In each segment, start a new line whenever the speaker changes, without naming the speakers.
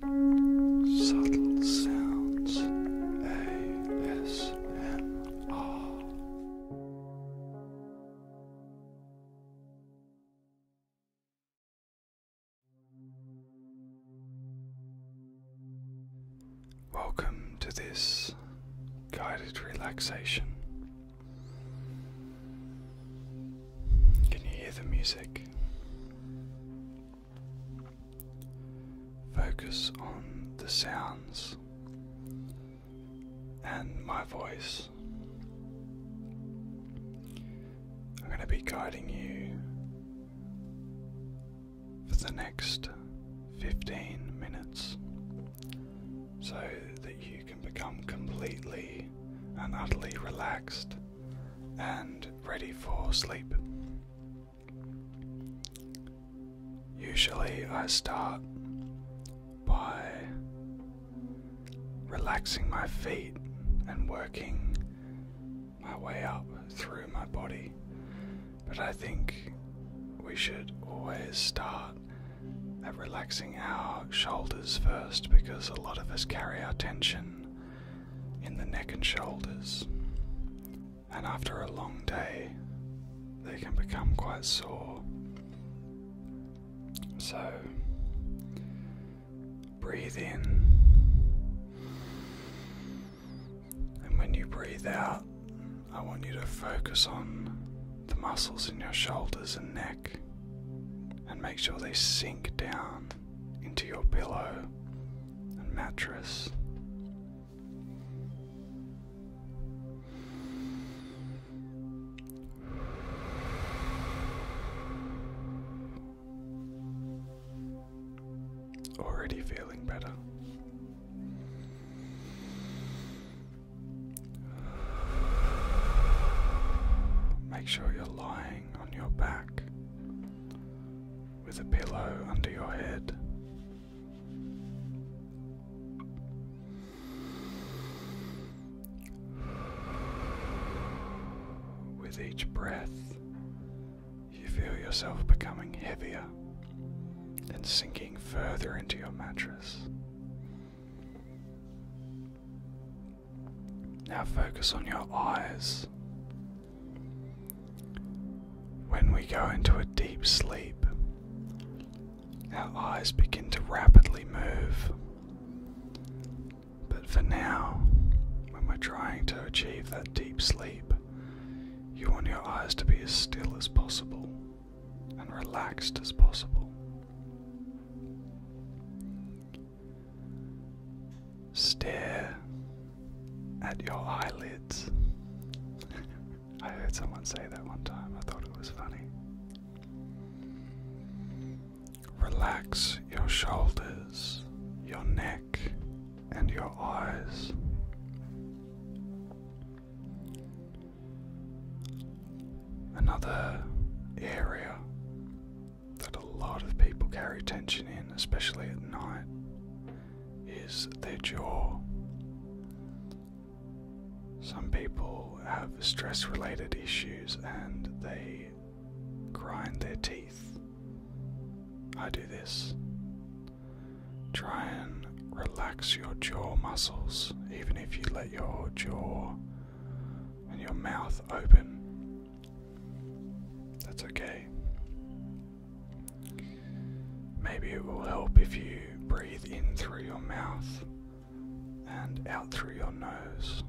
Subtle Sounds ASMR Welcome to this guided relaxation. Can you hear the music? Focus on the sounds and my voice. I'm going to be guiding you for the next 15 minutes so that you can become completely and utterly relaxed and ready for sleep. Usually, I start by relaxing my feet and working my way up through my body, but I think we should always start at relaxing our shoulders first because a lot of us carry our tension in the neck and shoulders, and after a long day, they can become quite sore. So, breathe in, and when you breathe out, I want you to focus on the muscles in your shoulders and neck and make sure they sink down into your pillow and mattress. Already feeling better. Make sure you're lying on your back with a pillow under your head. With each breath, you feel yourself becoming heavier and sinking further into your mattress. Now focus on your eyes. When we go into a deep sleep, our eyes begin to rapidly move. But for now, when we're trying to achieve that deep sleep, you want your eyes to be as still as possible and relaxed as possible. Stare at your eyelids. I heard someone say that one time, I thought it was funny. Relax your shoulders, your neck, and your eyes. Another area that a lot of people carry tension in, especially at night, is their jaw. Some people have stress related issues and they grind their teeth. I do this. Try and relax your jaw muscles, even if you let your jaw and your mouth open. That's okay. Maybe it will help if you breathe in through your mouth and out through your nose.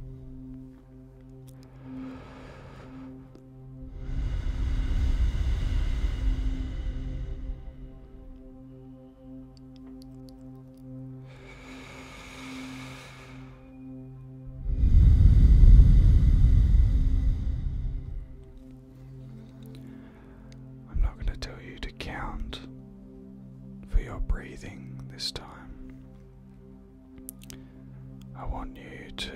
I'm not going to tell you to count for your breathing this time. I want you to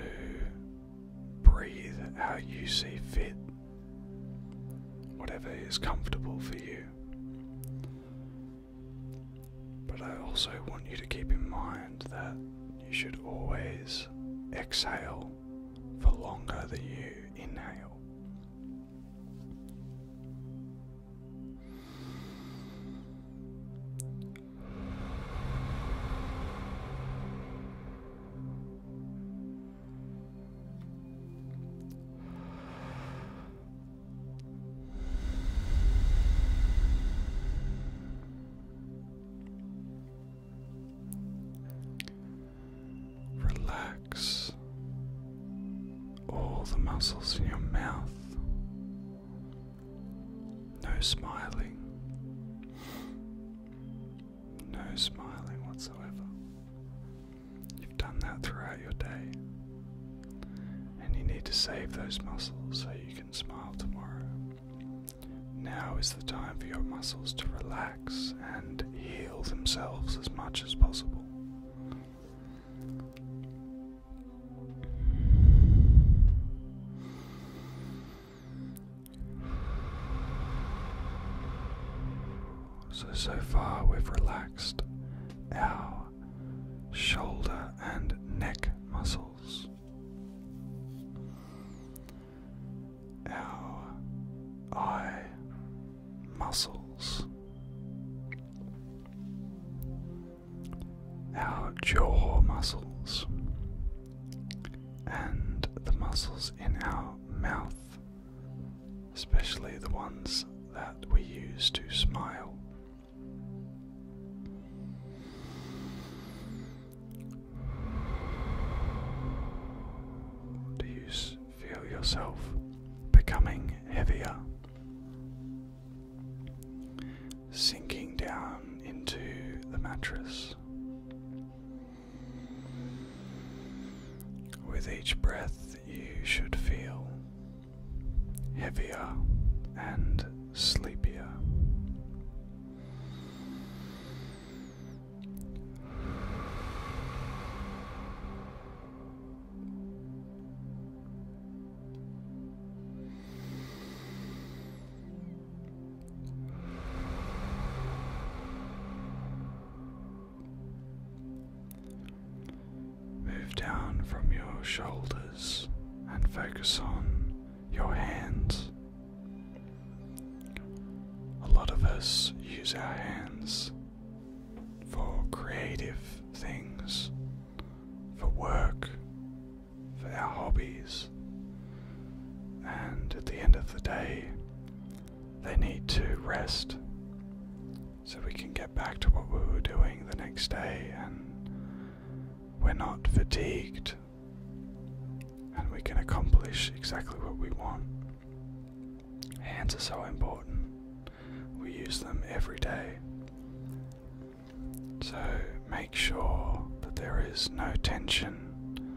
breathe how you see fit, whatever is comfortable for you. But I also want you to keep in mind that you should always exhale for longer than you inhale. Relax all the muscles in your mouth. No smiling. No smiling whatsoever. You've done that throughout your day. And you need to save those muscles so you can smile tomorrow. Now is the time for your muscles to relax and heal themselves as much as possible. So, so far we've relaxed our shoulder and neck muscles, our eye muscles, our jaw muscles, and the muscles in our mouth especially the ones that we use to smile. Do you feel yourself becoming heavier? Sinking down into the mattress. With each breath, you should feel heavier and sleepier. Move down from your shoulders and focus on your hands. A lot of us use our hands for creative things, for work, for our hobbies, and at the end of the day, they need to rest so we can get back to what we were doing the next day and we're not fatigued and we can accomplish exactly what we want. Hands are so important, we use them every day. So make sure that there is no tension.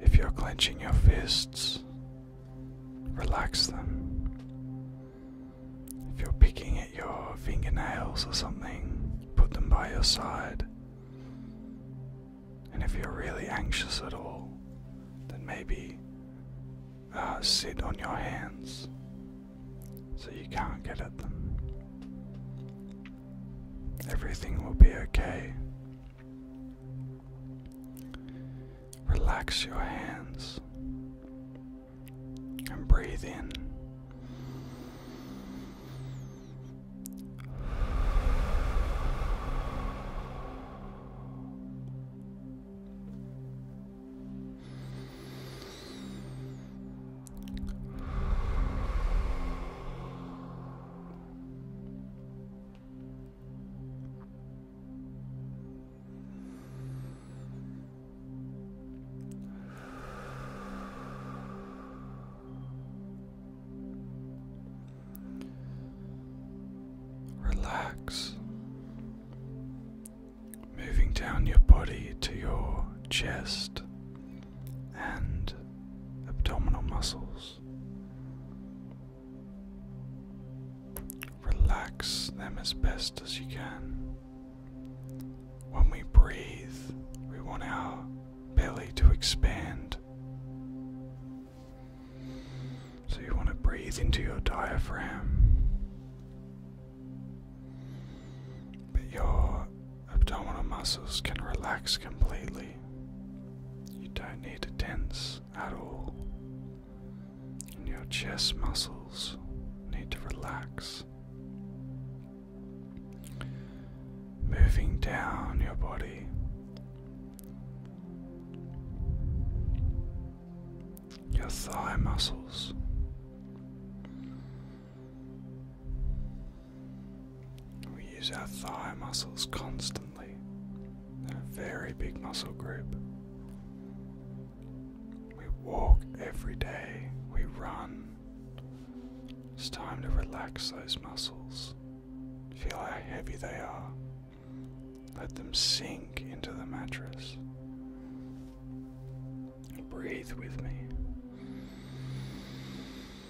If you're clenching your fists, relax them. If you're picking at your fingernails or something, put them by your side. And if you're really anxious at all, then maybe uh, sit on your hands so you can't get at them. Everything will be okay. Relax your hands and breathe in. Relax, moving down your body to your chest and abdominal muscles. Relax them as best as you can. When we breathe, we want our belly to expand. So you want to breathe into your diaphragm, but your abdominal muscles can relax completely. You don't need to tense at all, and your chest muscles need to relax. Moving down your body. Your thigh muscles, we use our thigh muscles constantly. They're a very big muscle group. We walk every day, we run. It's time to relax those muscles. Feel how heavy they are. Let them sink into the mattress. Breathe with me.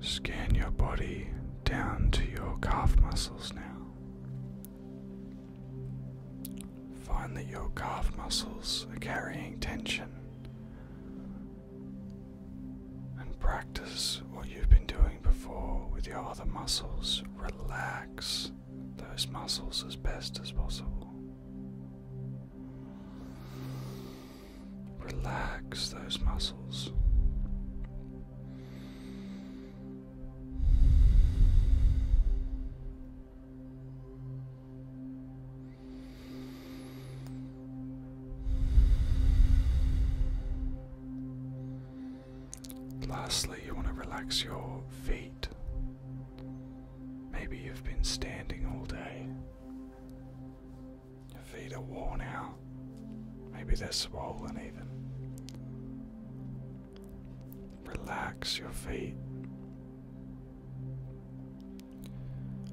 Scan your body down to your calf muscles now. Find that your calf muscles are carrying tension and practice what you've been doing before with your other muscles. Relax those muscles as best as possible. Relax those muscles. Lastly, you want to relax your feet. Maybe you've been standing all day. Your feet are worn out. Maybe they're swollen even. Relax your feet.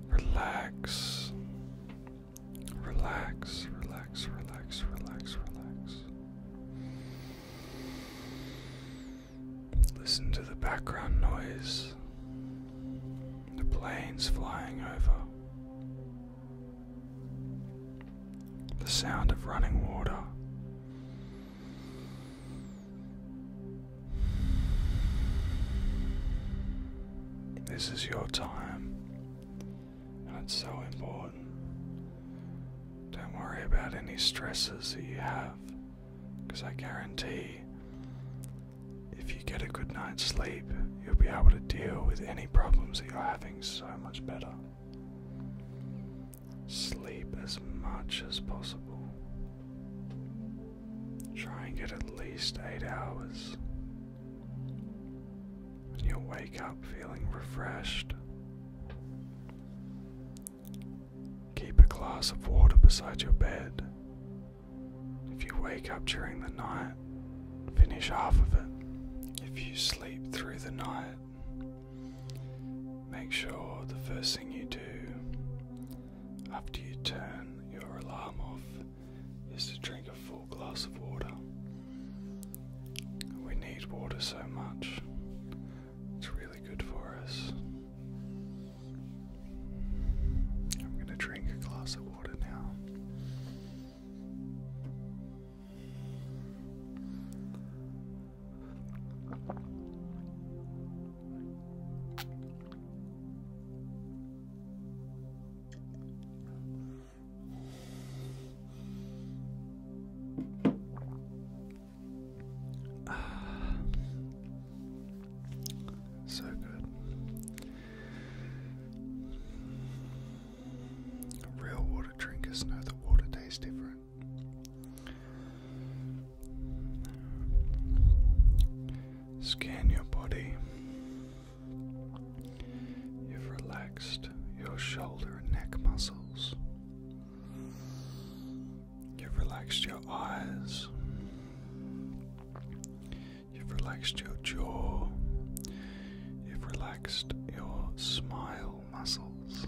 Relax. Relax, relax, relax, relax, relax. Listen to the background noise, the planes flying over, the sound of running water. This is your time, and it's so important. Don't worry about any stresses that you have. Because I guarantee if you get a good night's sleep, you'll be able to deal with any problems that you're having so much better. Sleep as much as possible. Try and get at least eight hours. you'll wake up feeling refreshed. Keep a glass of water beside your bed. If you wake up during the night, finish half of it. If you sleep through the night, make sure the first thing you do after you turn your alarm off is to drink a full glass of water. We need water so much. It's really good for us. I'm going to drink a glass of water now. so good. Real water drinkers know that water tastes different. Scan your body. You've relaxed your shoulder and neck muscles. You've relaxed your eyes. You've relaxed your jaw. You've relaxed your smile muscles.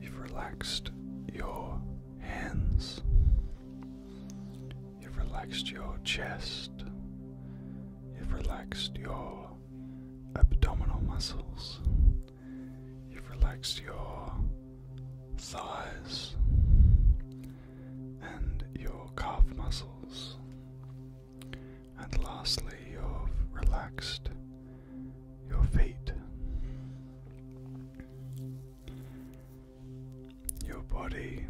You've relaxed your hands. You've relaxed your chest. You've relaxed your abdominal muscles. You've relaxed your thighs and your calf muscles. And lastly, you've relaxed your feet. Your body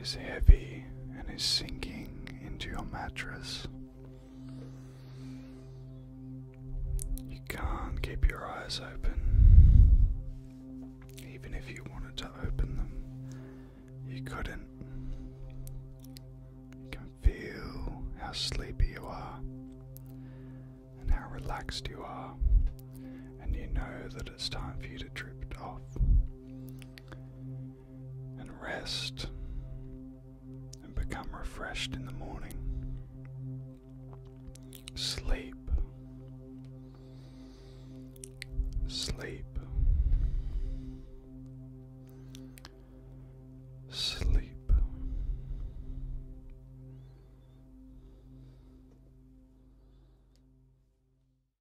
is heavy and is sinking into your mattress. You can't keep your eyes open. Even if you wanted to open them, you couldn't. You can feel how sleepy you are and how relaxed you are, and you know that it's time for you to drift off and rest and become refreshed in the morning. Sleep. Sleep. Sleep.